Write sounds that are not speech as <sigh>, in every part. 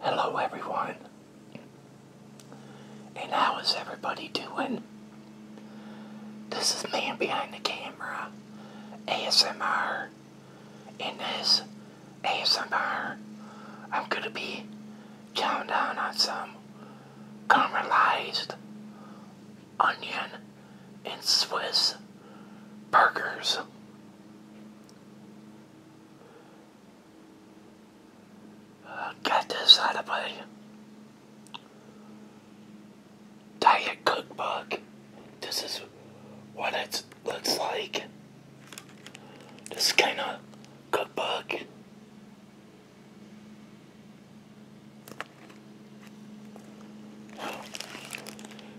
Hello everyone. And how is everybody doing? This is Man Behind the Camera ASMR. In this ASMR, I'm going to be chowing down on some caramelized onion and Swiss burgers. Got this out of my diet cookbook. This is what it looks like. This kind of cookbook.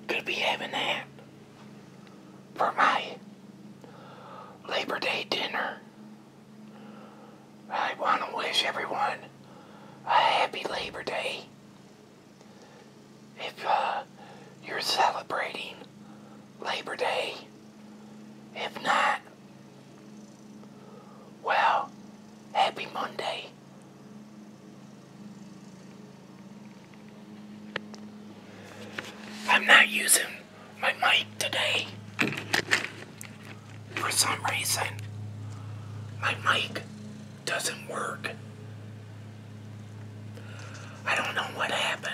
Could be having that for my Labor Day dinner. I want to wish everyone a happy Labor Day. If uh, you're celebrating Labor Day, if not, well, happy Monday. I'm not using my mic today. For some reason, my mic doesn't work. I don't know what happened.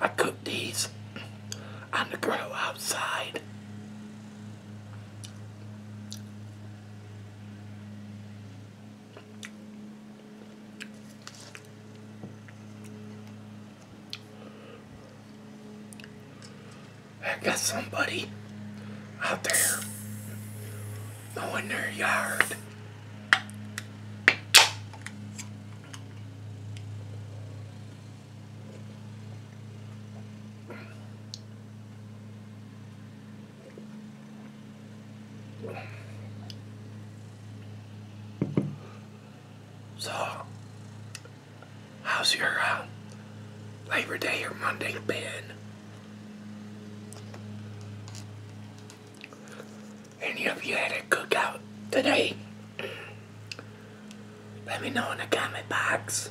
I cooked these on the grill outside. I got somebody out there mowing their yard. So, how's your uh, Labor Day or Monday been? any of you had a cookout today? Let me know in the comment box.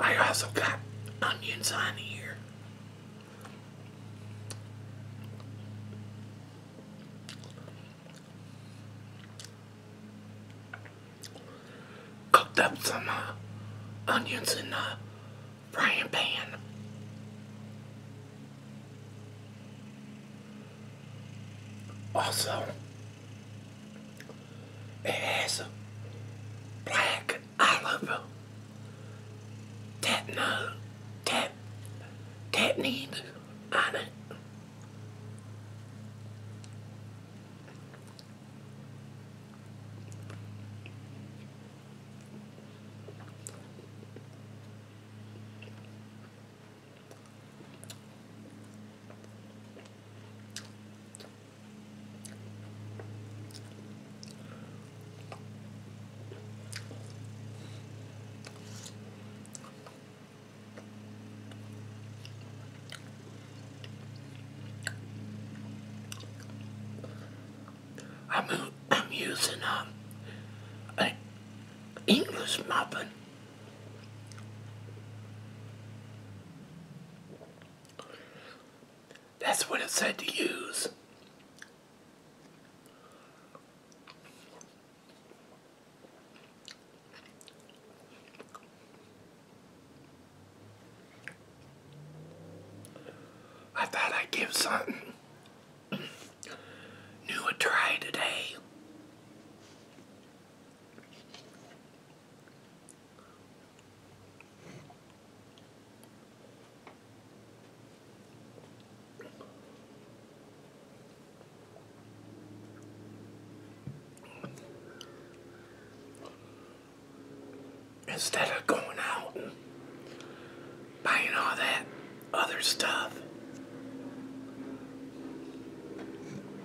I also got onions on here. Cooked up some uh, onions in the frying pan. Also, it has a black olive, tatna, tat, tatnine on it. I'm, <coughs> I'm using uh, a English muffin. That's what it said to use. I thought I'd give something new a try today. Instead of going out and buying all that other stuff.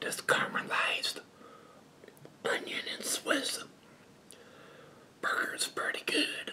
This caramelized onion and Swiss burger is pretty good.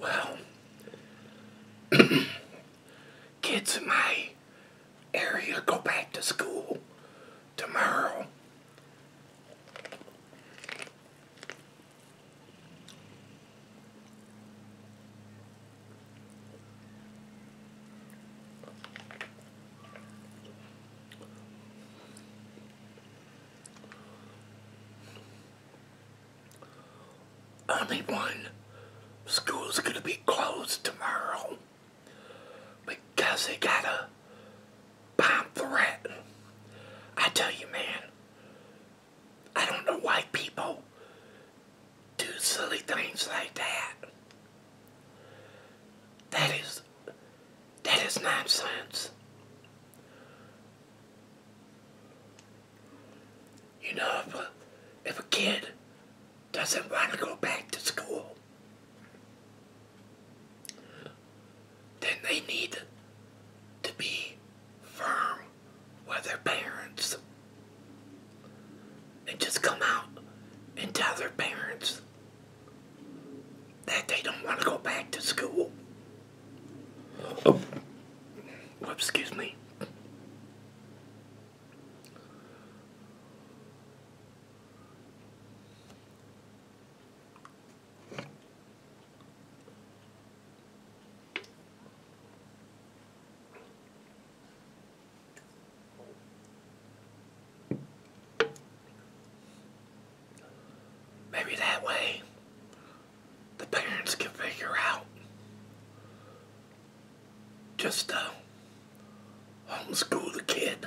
Well, <clears throat> kids in my area go back to school tomorrow. Only one. School's gonna be closed tomorrow because they got a bomb threat. I tell you, man, I don't know why people do silly things like that. That is, that is nonsense. You know, if a, kid doesn't want to go back to school, then they need to be firm with their parents and just come out and tell their parents that they don't want to go back to school. Oh, excuse me. Maybe that way the parents can figure out just to homeschool the kid.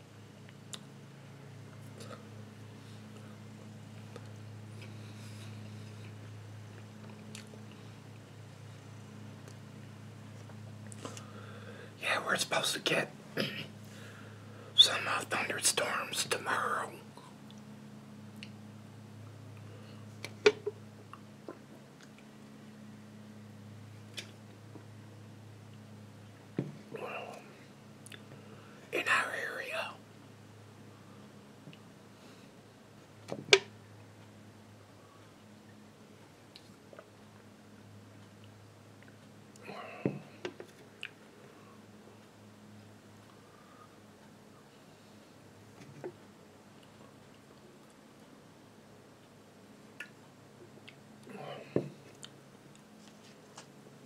Yeah, we're supposed to get <clears throat> some uh, thunderstorms tomorrow in our area.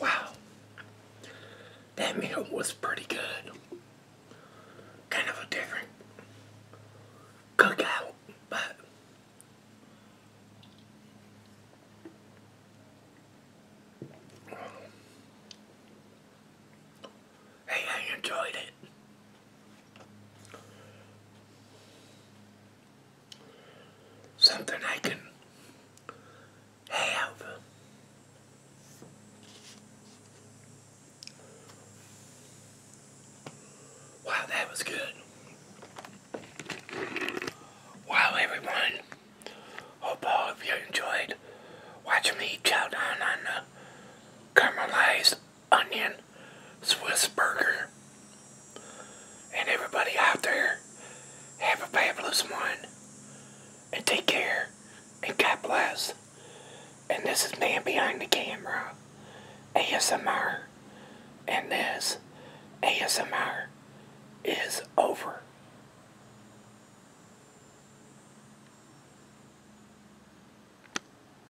Wow, that meal was pretty good. Kind of a different cookout, but hey, I enjoyed it something I can have. Wow, that was good. Wow, everyone. Hope all of you enjoyed watching me chow down on the caramelized onion Swiss burger. And everybody out there, have a fabulous one. And take care. And God bless. And this is Man Behind the Camera. ASMR. And this ASMR is over.